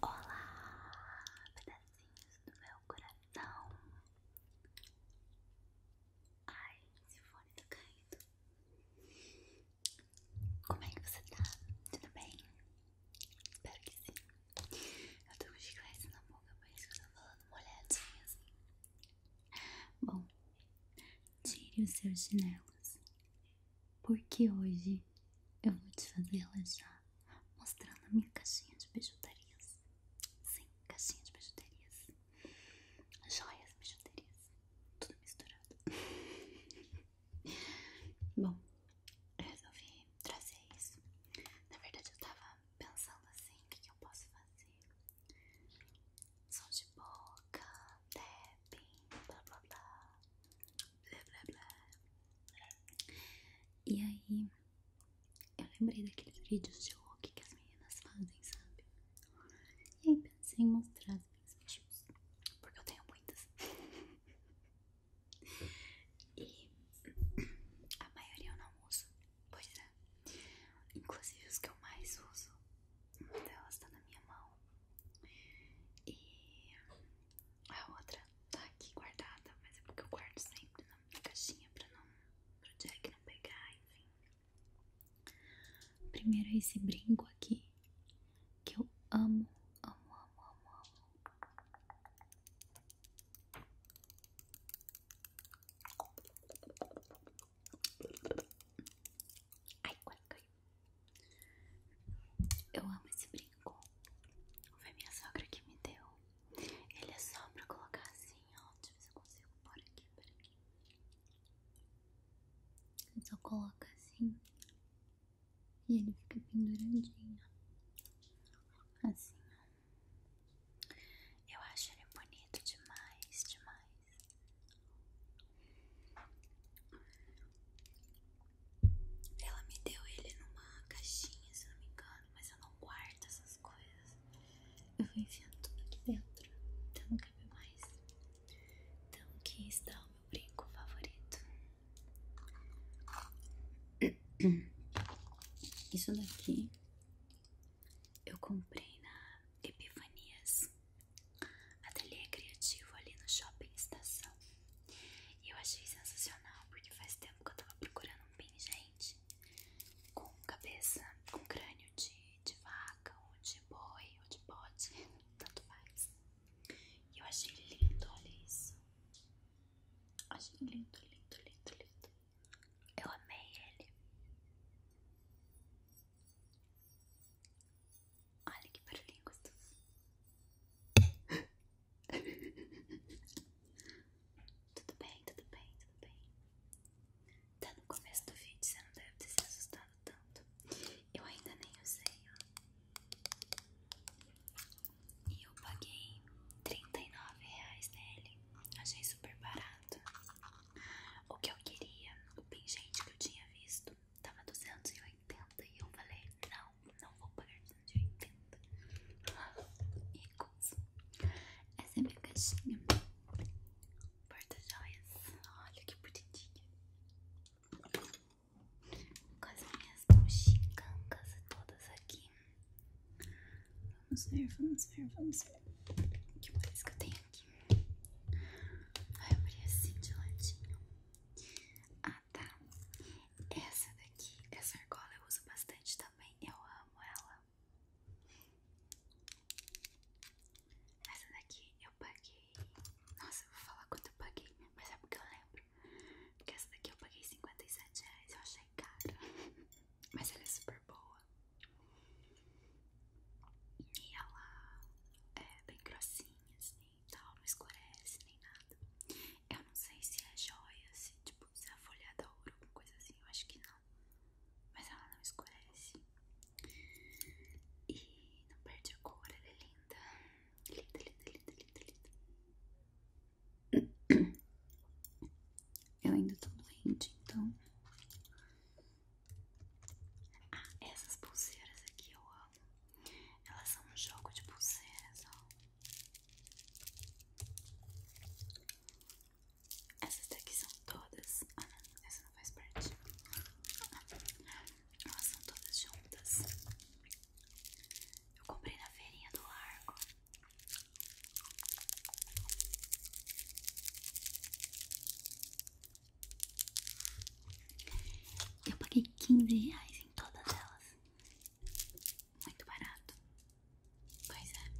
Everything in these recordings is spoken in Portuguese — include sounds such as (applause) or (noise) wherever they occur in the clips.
Olá, pedacinhos do meu coração. Ai, esse fone tá caindo. Como é que você tá? Tudo bem? Espero que sim. Eu tô com chiclete na boca, por isso que eu tô falando molhadinho assim. Bom, tire os seus chinelos porque hoje eu vou te fazer já mostrando a minha caixinha de bijuterias. Sim, caixinha de bijuterias. Joias, bijuterias. Tudo misturado. (laughs) Bom, eu resolvi trazer isso. Na verdade, eu tava pensando assim: o que, eu posso fazer? Som de boca, tapping, blá blá blá blá blá blá. E aí, eu lembrei daqueles vídeos de look que as meninas fazem, sabe? E pensei em mostrar as minhas vídeos, porque eu tenho muitas. e a maioria eu não uso, pois é. Inclusive os que eu mais uso, uma delas tá na minha mão. E a outra tá aqui guardada, mas é porque eu guardo sempre na caixinha pra não, pro Jack não pegar, enfim. Primeiro é esse brinco aqui, que eu amo, amo, amo, amo, amo. Ai, quase caiu. Eu amo esse brinco. Foi minha sogra que me deu. Ele é só pra colocar assim, ó. Deixa eu ver se eu consigo pôr aqui, só coloca assim. E ele fica penduradinho. Assim, ó. Eu acho ele bonito demais, demais. Ela me deu ele numa caixinha, se não me engano, mas eu não guardo essas coisas. Eu vou enfiando tudo aqui dentro, então não cabe mais. Então aqui está o meu brinco favorito. Isso daqui eu comprei na Epifanias ateliê criativo ali no shopping estação. E eu achei sensacional, porque faz tempo que eu tava procurando um pingente com cabeça, com crânio de, de vaca, ou de boi, ou de bode, (laughs) tanto faz. E eu achei lindo, olha isso. Achei lindo, lindo, lindo, lindo. Eu amei ele. Olha que barulhinho gostoso. (laughs) tudo bem, tudo bem, tudo bem. Tá no começo do vídeo, você não deve ter se assustado tanto. Eu ainda nem usei, ó. E eu paguei 39 reais nele. Achei super barato. O que eu queria, o pingente que eu tinha visto, tava 280 e eu falei, não, não vou pagar 280 E coisa Essa é minha caixinha Porta-joias, olha que bonitinha Com as minhas mochicancas todas aqui Vamos ver, vamos ver, vamos ver que mais que eu tenho aqui Aí eu abri assim de latinho. Ah tá, essa daqui, essa argola eu uso bastante também, eu amo ela. Essa daqui eu paguei, nossa, eu vou falar quanto eu paguei, mas é porque eu lembro. essa daqui eu paguei 57 reais, eu achei cara, (laughs) mas ela é super boa. E ela é bem grossinha, assim assim tal, não escurece nem nada. Eu não sei se é joia, se tipo, se é folhada ou alguma coisa assim, eu acho que não. Mas ela não escurece. E não perde a cor, ela é linda. Linda, linda, linda, linda, linda. Eu ainda tô doente, então ah, essas pulseiras aqui eu amo. Elas são um jogo de pulseiras, ó. Essas daqui são todas. Ah, essa não faz parte. Ah, elas são todas juntas. Eu comprei na feirinha do largo. Eu paguei 15 reais em todas elas. Muito barato. Pois é.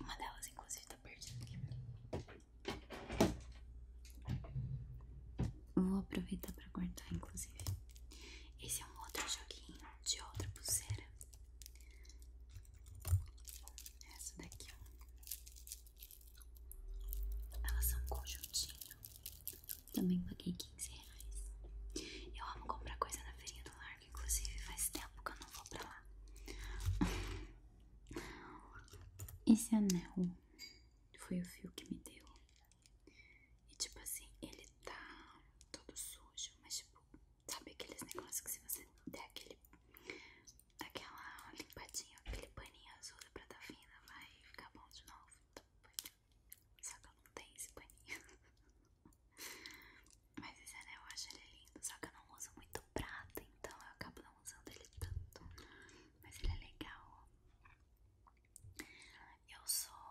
Uma delas, inclusive, tá perdida aqui. Vou aproveitar pra cortar, inclusive. Esse é um outro joguinho de outra pulseira. Essa daqui, ó. Elas são um Também paguei 15 reais. Eu amo comprar coisa na feirinha do largo, inclusive faz tempo que eu não vou pra lá. (laughs) Esse anel foi o fio que me deu. E tipo assim, ele tá todo sujo, mas tipo, sabe aqueles negócios que se você der aquele daquela limpadinha, aquele paninho azul da prata fina vai ficar bom de novo. Então, só que eu não tenho esse paninho. (laughs) Mas esse anel eu acho ele lindo, só que eu não uso muito prata, então eu acabo não usando ele tanto. Mas ele é legal. Eu sou.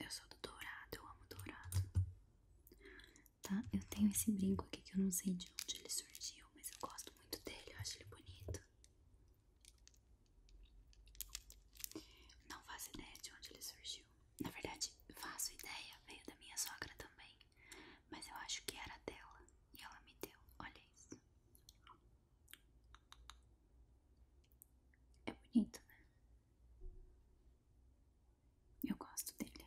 Eu sou do dourado, eu amo dourado tá? Eu tenho esse brinco aqui que eu não sei de onde ele surgiu, mas eu gosto muito dele, eu acho ele bonito. Não faço ideia de onde ele surgiu. Na verdade, faço ideia, veio da minha sogra também, mas eu acho que era dela e ela me deu. Olha isso. É bonito, né? Eu gosto dele.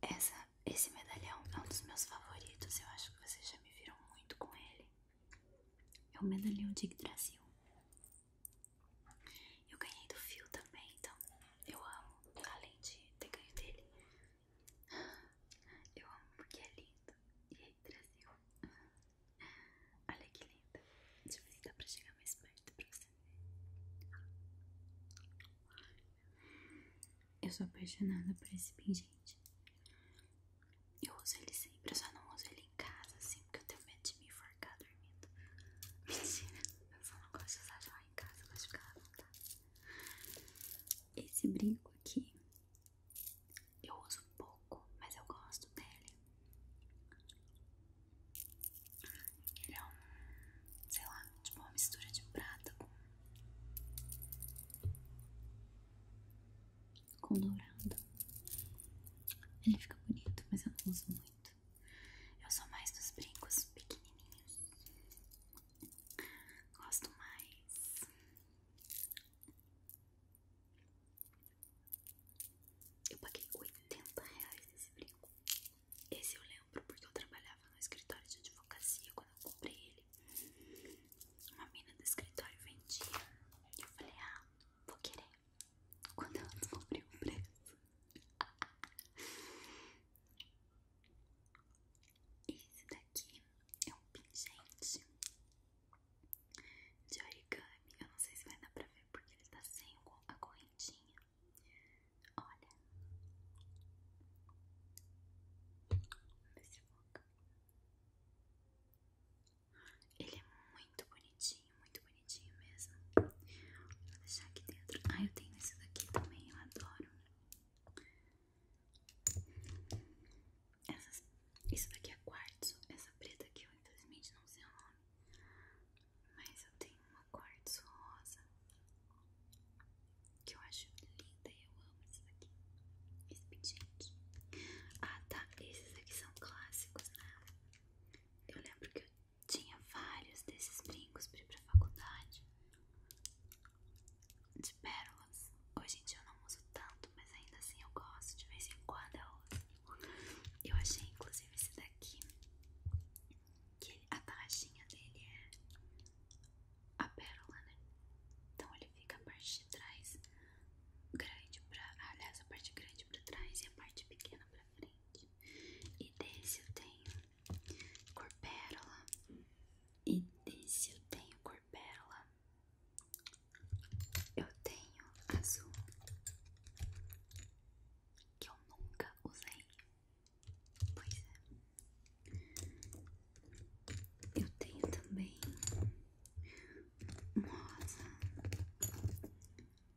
Essa, esse medalhão é um dos meus favoritos. Eu acho que vocês já me viram muito com ele. É o medalhão de Yggdrasil. Eu ganhei do fio também, então eu amo. Além de ter ganho dele, (laughs) eu amo porque é lindo. E aí, Brasil. (laughs) Olha que linda. Deixa eu ver se dá pra chegar mais perto pra você. Eu sou apaixonada por esse pingente. Eu uso ele sempre, eu só não uso ele em casa, assim, porque eu tenho medo de me enforcar dormindo. Mentira, eu só não gosto de usar joia em casa, gosto de ficar à vontade. Esse brinco aqui, eu uso pouco, mas eu gosto dele. Ele é um, sei lá, tipo uma mistura de prata com, com dourado. Ele fica bonito, mas eu não uso muito. Eu sou mais dos brincos pequenininhos. Gosto mais. Eu paguei 80 reais nesse brinco. Esse eu lembro porque eu trabalhava no escritório de advocacia quando eu comprei ele. Uma menina do escritório vendia. E eu falei, ah, vou querer. Quando eu descobri o preço. (laughs) Esse daqui é um pingente de origami. Eu não sei se vai dar pra ver porque ele tá sem a correntinha. Olha, esse boca. Ele é muito bonitinho, muito bonitinho mesmo. Vou deixar aqui dentro. Ah, eu tenho esse daqui também, eu adoro. Essa, isso daqui é quartzo. Essa preta aqui eu infelizmente não sei o nome. Mas eu tenho uma de rosa que eu acho linda e eu amo esses aqui. Esse pendente. Ah tá, esses aqui são clássicos, né? Eu lembro que eu tinha vários desses brincos pra ir pra faculdade. De pérolas. Hoje em dia eu não uso tanto, mas ainda assim eu gosto. De vez em quando eu uso. Eu achei inclusive esse daqui, que a tarraxinha dele é a pérola, né? Então ele fica a parte de trás grande pra. Aliás, a parte grande pra trás e a parte pequena pra frente. E desse eu tenho cor pérola. E desse eu tenho cor pérola. Eu tenho azul que eu nunca usei. Pois é. Eu tenho também um rosa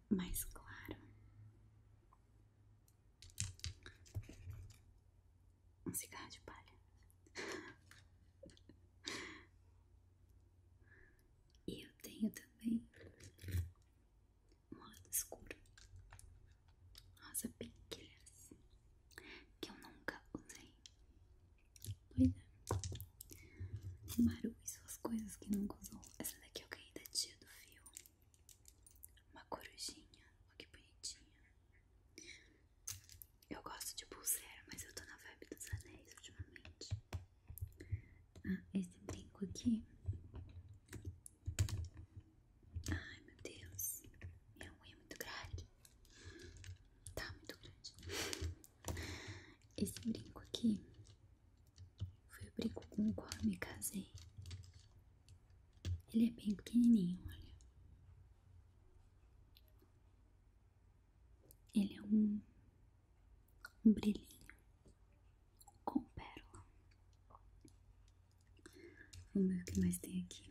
mais claro. Um cigarro de palha. (laughs) E eu tenho também moeda escura, rosa pinquilhas, que eu nunca usei. Pois é, barulho e suas coisas que nunca usou. Essa daqui é eu caí da tia do fio, uma corujinha, olha que bonitinha. Eu gosto de pulseira, mas eu tô na vibe dos anéis ultimamente. Tá, esse brinco aqui. Ai, meu Deus. Minha unha é muito grande. Tá muito grande. Esse brinco aqui foi o brinco com o qual eu me casei. Ele é bem pequenininho, olha. Ele é um um brilhinho com pérola. Vamos ver o que mais tem aqui.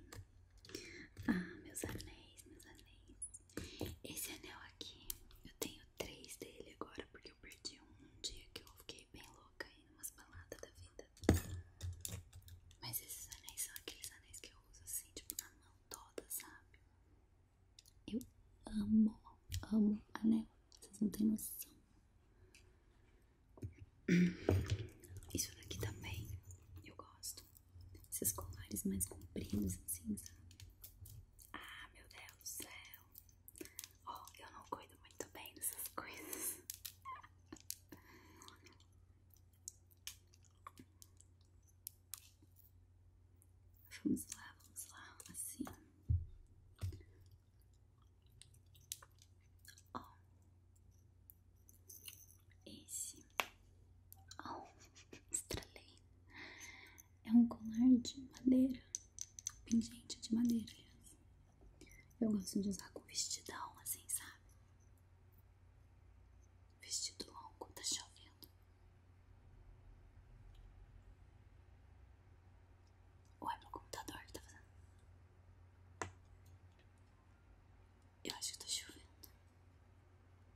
Ah, meus anéis, meus anéis. Esse anel aqui, eu tenho três dele agora, porque eu perdi um, um dia que eu fiquei bem louca aí numas baladas da vida. Mas esses anéis são aqueles anéis que eu uso assim, tipo, na mão toda, sabe? Eu amo, amo anel. Vocês não têm noção. Isso daqui também eu gosto. Esses colares mais compridos, assim, sabe? Ah, meu Deus do céu. Ó, oh, eu não cuido muito bem dessas coisas. Vamos lá, vamos lá, assim. Ó. Esse. Ó, oh. (laughs) estralei. É um colar de madeira. Pingente de madeira, aliás. Eu gosto de usar com vestidão, assim, sabe? Vestido longo, tá chovendo vendo. Ou é pro computador que tá fazendo? Eu acho que tá chovendo.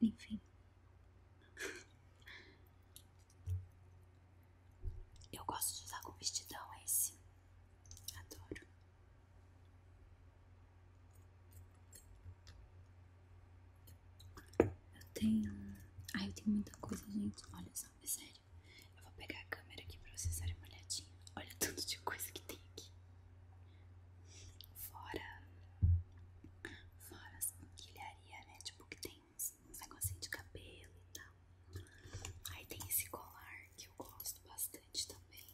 Enfim. (laughs) Eu gosto de usar com vestidão esse. Adoro. Eu tenho. Ai, eu tenho muita coisa, gente. Olha só, é sério. Eu vou pegar a câmera aqui pra vocês darem uma olhadinha. Olha tudo de coisa que tem aqui. Fora. Fora as quilharia, né? Tipo, que tem uns, uns negocinhos de cabelo e tal. Aí tem esse colar que eu gosto bastante também.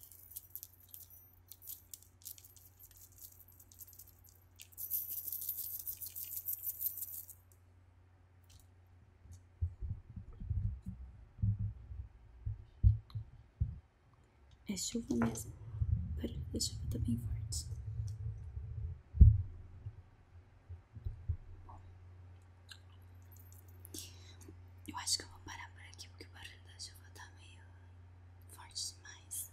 É chuva mesmo. Pera, a chuva tá bem forte. Eu acho que eu vou parar por aqui porque o barulho da chuva tá meio forte falaremos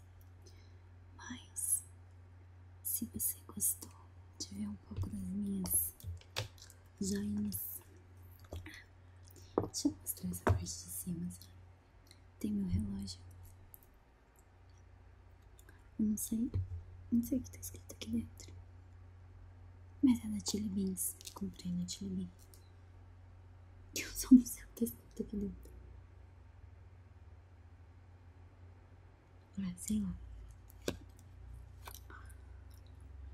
mais. Mas, se você gostou de ver um pouco das minhas joinhas, deixa eu mostrar essa parte de cima. Tem meu relógio. Eu não sei, não sei o que está escrito aqui dentro. Mas é da Chili Beans. Comprei na Chili Beans. (laughs) Eu sou não sei o tá escrito aqui dentro. Assim, é, ó.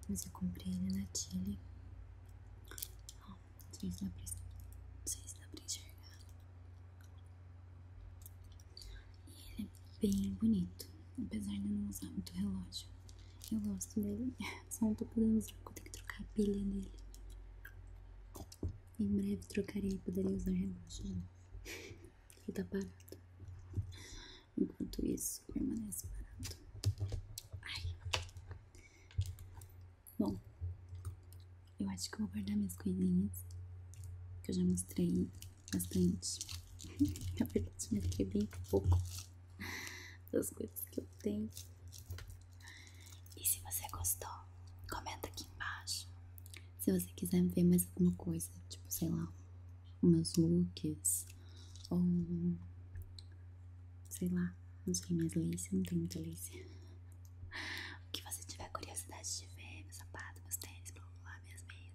Mas eu comprei ele na Tilly. Ó, não sei se dá pra, não sei se dá E ele é bem bonito, apesar de eu não usar muito relógio. Eu gosto dele, (laughs) só não tô podendo usar porque eu que trocar a pilha dele. Em breve trocarei e poderei usar relógio de (laughs) Ele tá parado. Enquanto isso, permanece parado. Ai. Bom, eu acho que vou guardar minhas coisinhas. Que eu já mostrei bastante. (laughs) Na verdade, eu mostrei bem pouco (laughs) das coisas que eu tenho. E se você gostou, comenta aqui embaixo. Se você quiser ver mais alguma coisa, tipo, sei lá, meus looks, ou sei lá, não sei mais lace, não tem muita lace. (laughs) O que você tiver curiosidade de ver, meus sapatos meus tênis, blá blá, minhas meias.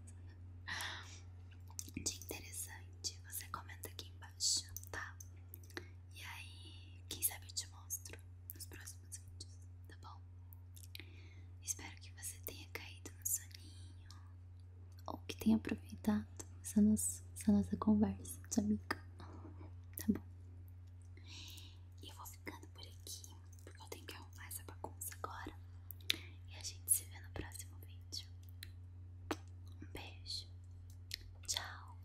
De interessante, você comenta aqui embaixo, tá? E aí, quem sabe eu te mostro nos próximos vídeos, tá bom? Espero que você tenha caído no soninho ou que tenha aproveitado essa nossa, essa nossa conversa de amiga, (laughs) tá bom? E eu vou ficando por aqui, porque eu tenho que arrumar essa bagunça agora. E a gente se vê no próximo vídeo. Um beijo. Tchau.